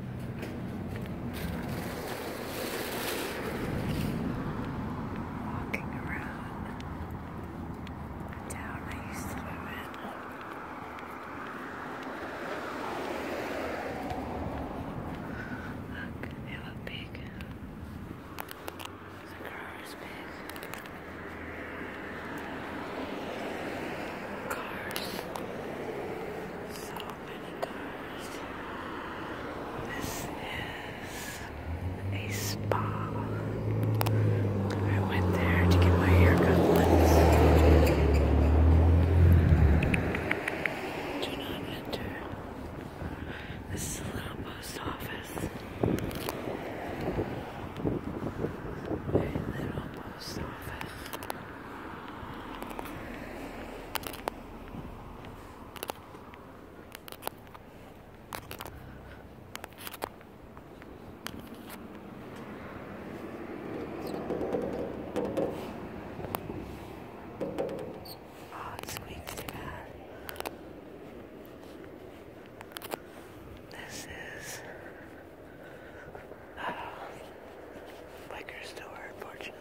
Walking around the town I Look, they look big. The car big. Cars. So this is a spa. I went there to get my haircut once. Do not enter. This is a little post office. A little post office. Oh, it squeaks too bad. This is uh, liquor store, unfortunately.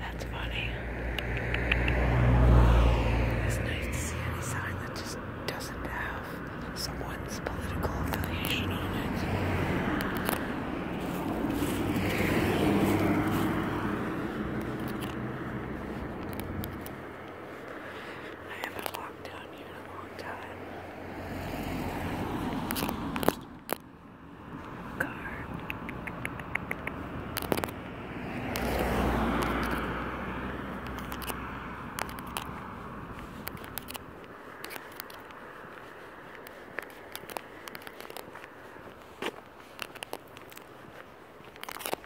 That's funny. It's nice to see any sign that just doesn't have someone's political affiliation on it. I haven't walked down here in a long time. Car.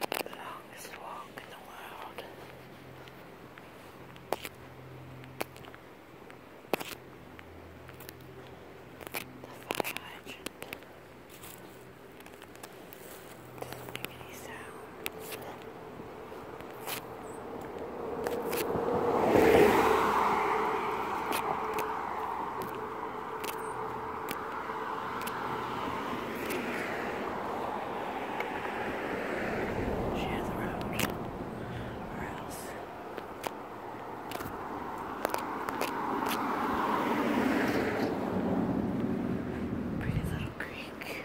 The longest walk in the world. The fire hydrant doesn't Share the road or else. Pretty little creek.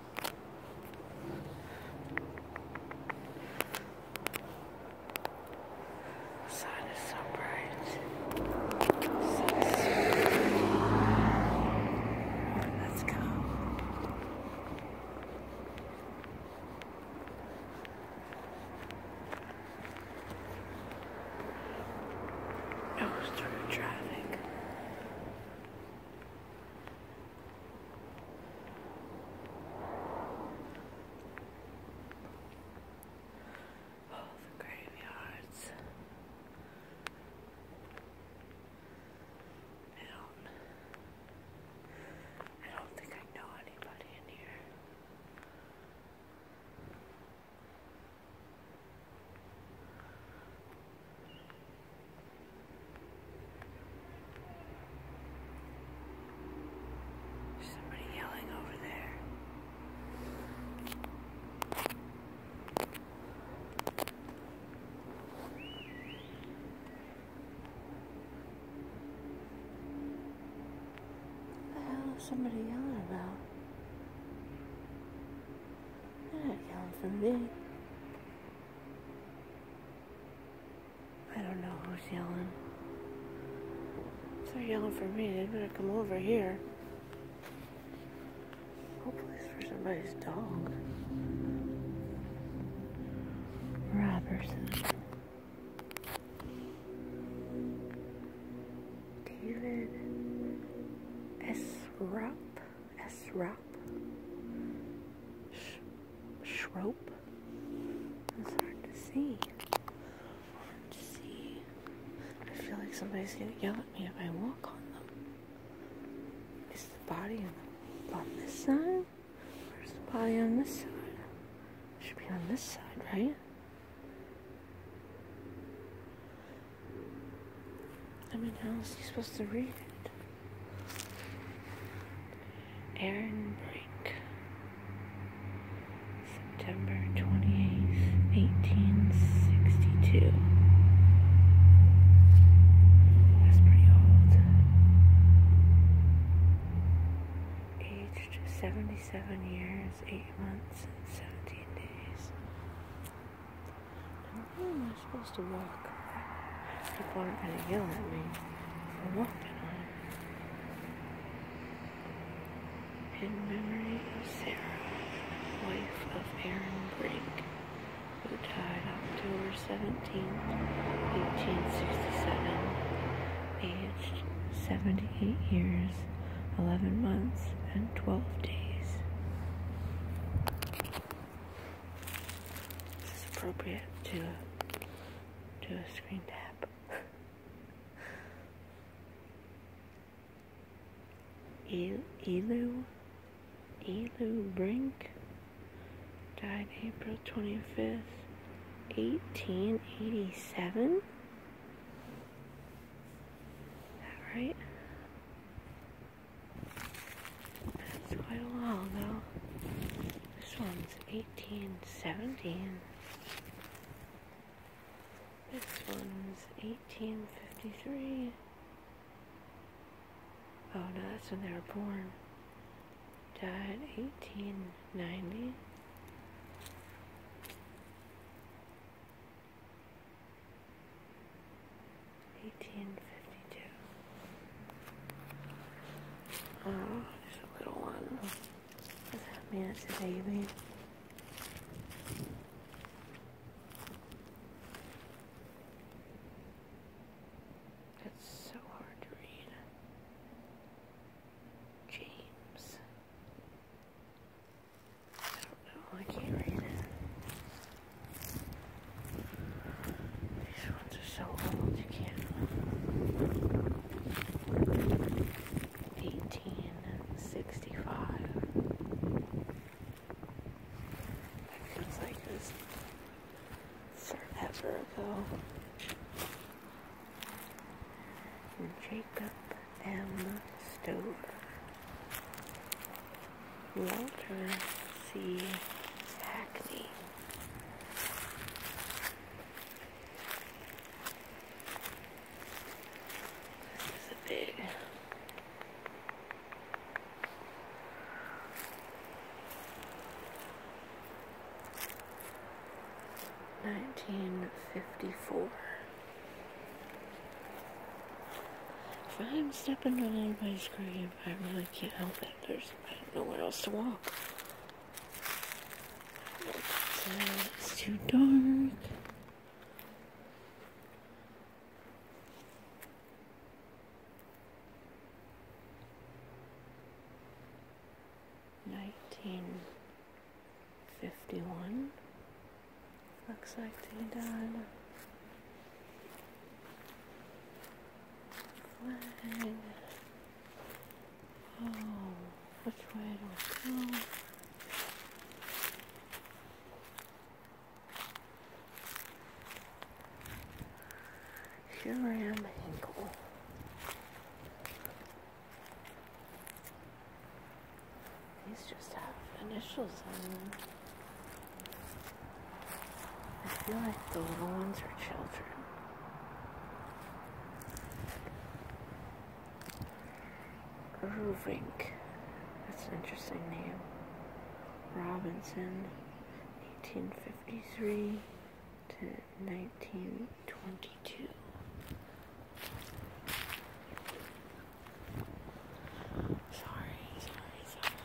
sun is so bright. Sun is so bright. Let's go. It was through Oh, the graveyards. I don't. I don't think I know anybody in here. Somebody yelling over there. What the hell is somebody yelling about? They're not yelling for me. I don't know who's yelling. If they're yelling for me, they better come over here. Hopefully it's for somebody's dog. Robertson. David S. Rupp. Esrop, Shrope. It's hard to see. see. I feel like somebody's gonna yell at me if I walk on them. Is the body on this side? Where's the body on this side? It should be on this side, right? I mean, how is he supposed to read it? Aaron Brake, September 28th, 1862. That's pretty old. Aged 77 years, 8 months, and 17 days. How am I supposed to walk? People aren't going to yell at me for walking In memory of Sarah, wife of Aaron Brink, who died October 17, 1867, aged 78 years, 11 months, and 12 days is appropriate to do a screen tap. Elu, Elu Brink died April 25th, 1887. Is that right? That's quite a while ago. This one's 1817. This one's 1853. Oh no, that's when they were born. Died 1890. 1852. Oh, there's a little one. Does that mean baby? That's so hard to read. James. I don't know, I can't read it. These ones are so old you can't. Eighteen sixty-five. That feels like this forever ago. Jacob M. Stover. Walter C. Hackney. This is a big. Nineteen fifty four. If I'm stepping on anybody's grave. I really can't help it. There's nowhere else to walk. It's too dark. Nineteen fifty one. Looks like they died. Uh, flag. Oh, which way do I go? Here I am, ankle. These just have initials on them. I feel like the little ones are children. Irvink. That's an interesting name. Robinson, 1853 to 1922. sorry.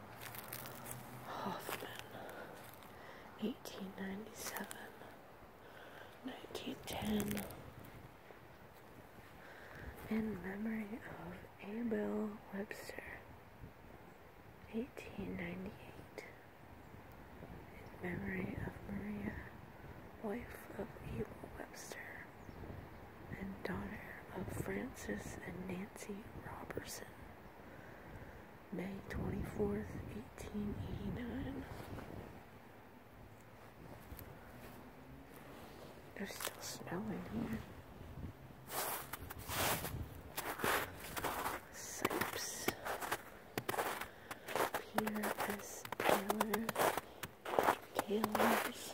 Hoffman, 1897, 1910, in memory of Abel Webster, 1898, in memory of Maria, wife of Abel Webster, and daughter of Francis and Nancy Robertson. May 24th, 1889. There's still snow in here. Sipes. Peter Taylor. Taylor's.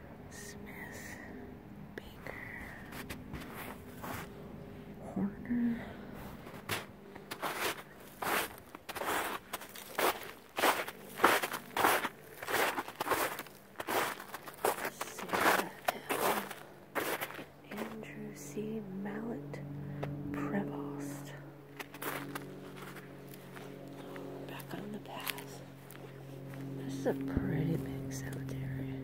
Smith, Baker, Horner. Sarah Andrew C. Mallet Prevost. Back on the path. This is a pretty big cemetery.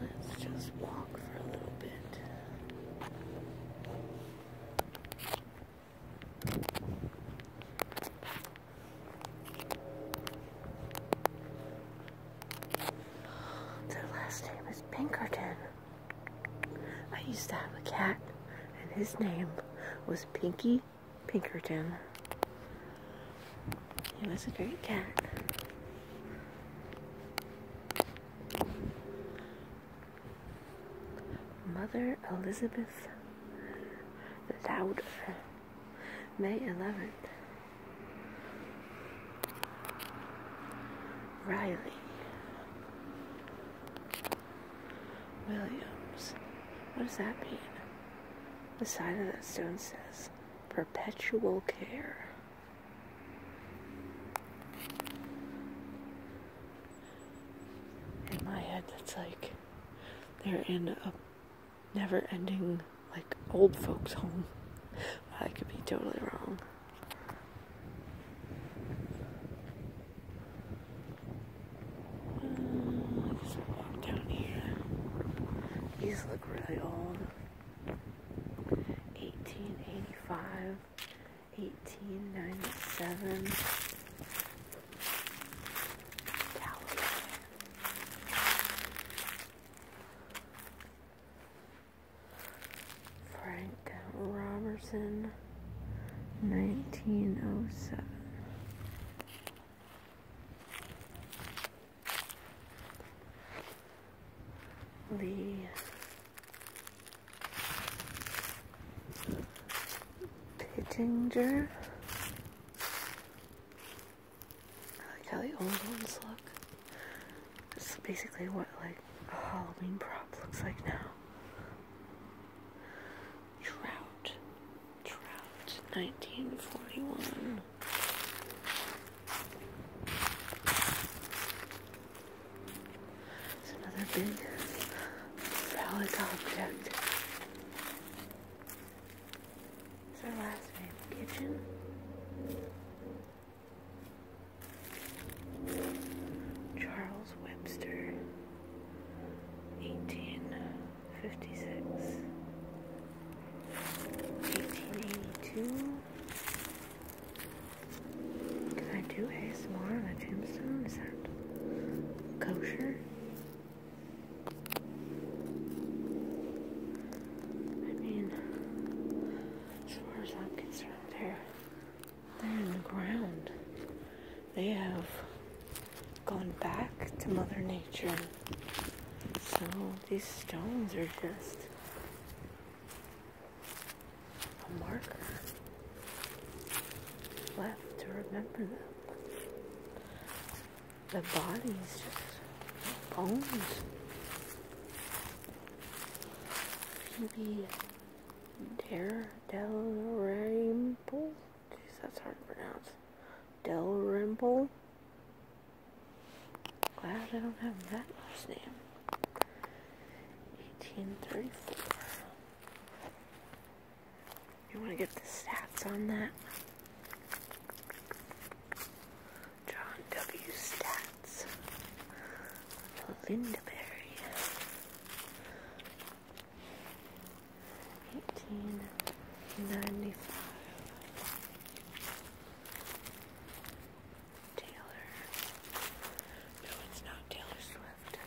Let's just walk for a little bit. Their last name is Pinkerton. I used to have a cat, and his name was Pinky Pinkerton. He was a great cat. Mother Elizabeth Loud, May 11th. Riley. Williams. What does that mean? The side of that stone says perpetual care. In my head, that's like they're in a never ending, like, old folks' home. I could be totally wrong. Uh, just walk down here. These look really old. 1885, 1897. Frank Robertson, 1907. Lee Pittinger. I like how the old ones look. It's basically what like a Halloween prop looks like now. Trout. Trout, 1941. It's another big phallic object. What's her last name? Kitchen? Charles Webster, 1856, 1882. Can I do ASMR on a tombstone? Is that kosher? I mean, as far as I'm concerned, there they're in the ground. They have gone back to Mother Nature. So these stones are just a marker left to remember them. The bodies just bones. Maybe there Dalrymple. Jeez, that's hard to pronounce. Dalrymple. Glad I don't have that last name. 1834. You want to get the stats on that? John W. Stats. Linda eighteen ninety five Taylor No it's not Taylor Swift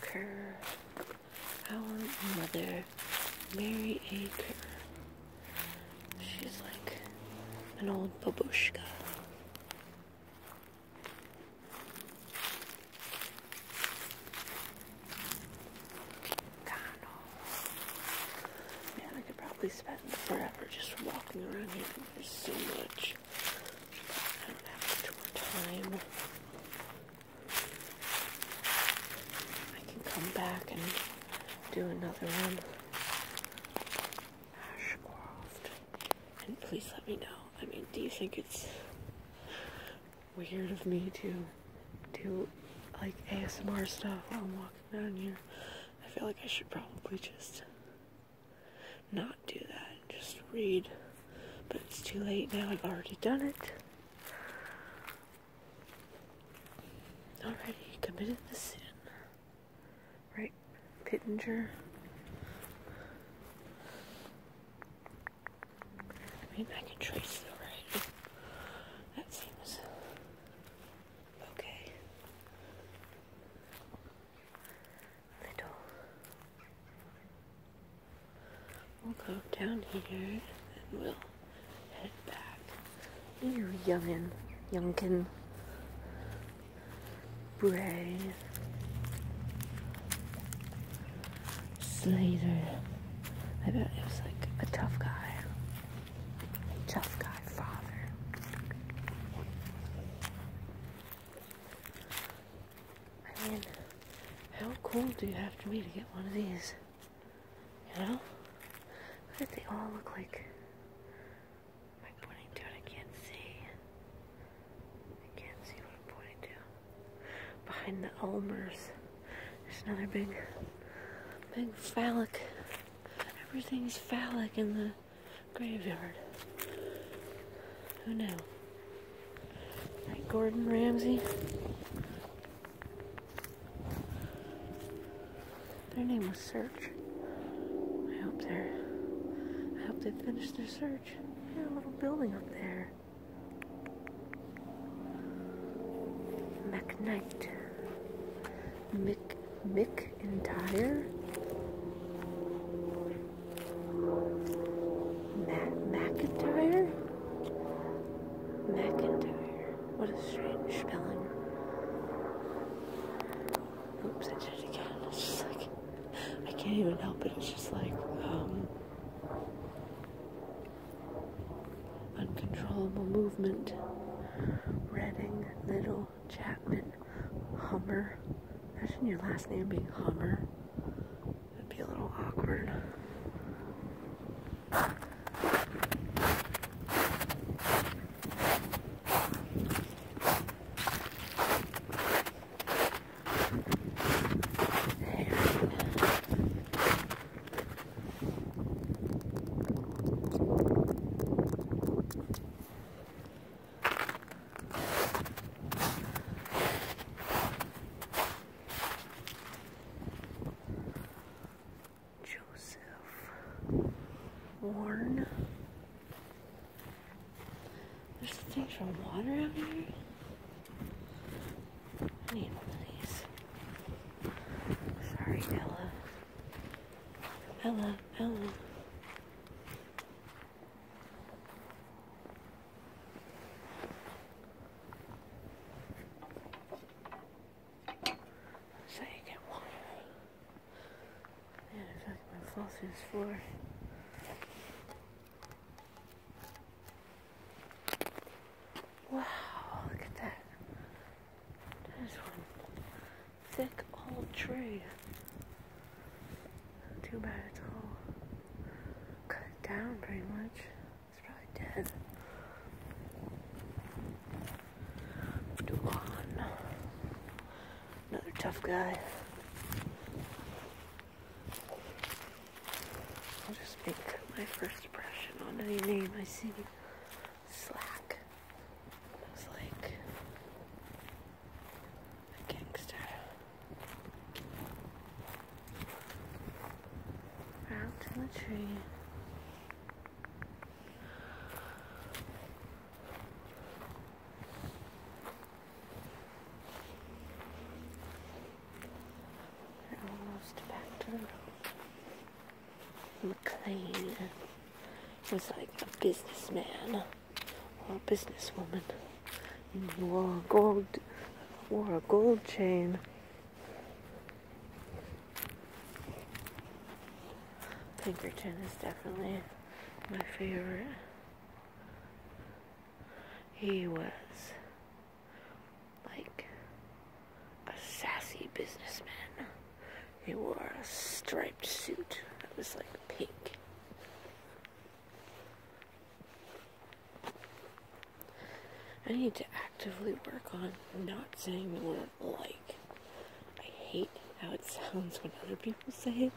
Kerr Our mother Mary A. She's like an old babushka. Cano. Man, I could probably spend forever just walking around here. There's so much. I don't have much more time. I can come back and do another one. Ashcroft. And please let me know I mean, do you think it's weird of me to do like ASMR stuff while I'm walking down here? I feel like I should probably just not do that and just read. But it's too late now, I've already done it. Already committed the sin. Right Pittenger. I I can trace it already. That seems okay. Little. We'll go down here and we'll head back. You're youngin', youngkin. Brave Slater. I bet it was like a tough guy. tough guy father. I mean, how cool do you have to be to get one of these? You know? But they all look like my pointing to I can't see. I can't see what I'm pointing to. Behind the Elmers, there's another big, big phallic. Everything's phallic in the graveyard. Who knew? Like Gordon Ramsay. Their name was Search. I hope they're. I hope they finished their search a little building up there. McKnight. Mick McIntyre. Matt McIntyre? McIntyre. What a strange spelling. Oops, I did it again. It's I can't even help it. It's just like um, uncontrollable movement. Redding, Little, Chapman, Hummer. Imagine your last name being Hummer. it would be a little awkward. Joseph Warren there's things from water out here. I need one of these. Sorry, Ella. Ella, Ella. So you can water. Man, I feel like my floor. Wow, look at that. There's one thick old tree. Too bad it's all cut down pretty much. It's probably dead. Duan. Another tough guy. I'll just make my first impression on any name I see. Slack. It's like a gangster. Out to the tree almost back to McLean was like a businessman or a businesswoman. And he wore a gold wore a gold chain. Pinkerton is definitely my favorite. He was like a sassy businessman. He wore a striped suit that was like pink. I need to actively work on not saying the word like. I hate how it sounds when other people say it.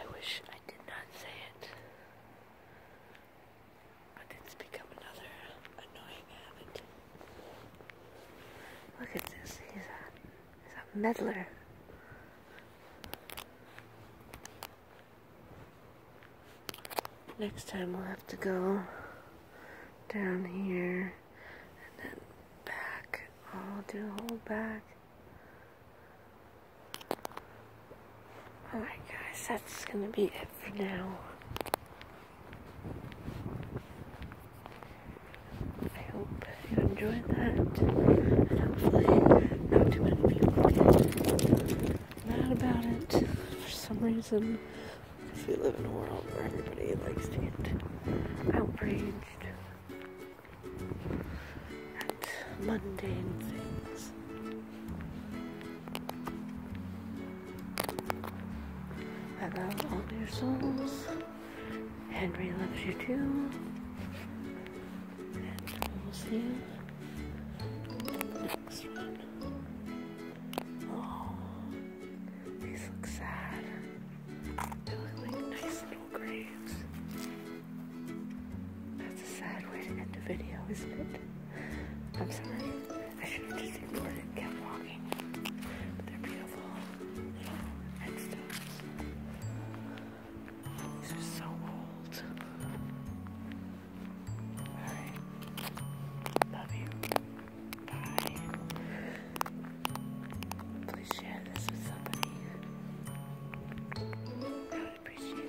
I wish I did not say it it's become another annoying habit. Look at this. He's a, he's a meddler. Next time we'll have to go down here and then back. I'll do a whole back. Alright guys, that's gonna be it for now. I hope you enjoyed that. And hopefully not too many people get mad about it for some reason. Because we live in a world where everybody likes to get outraged mundane things. I love all your souls. Henry loves you too. see you Oh, these look sad. They look like nice little graves. That's a sad way to end a video, isn't it? I'm sorry. I should have just ignored it and kept walking. But they're beautiful. Little are so old. Love you. Bye. Please share this with somebody would appreciate it.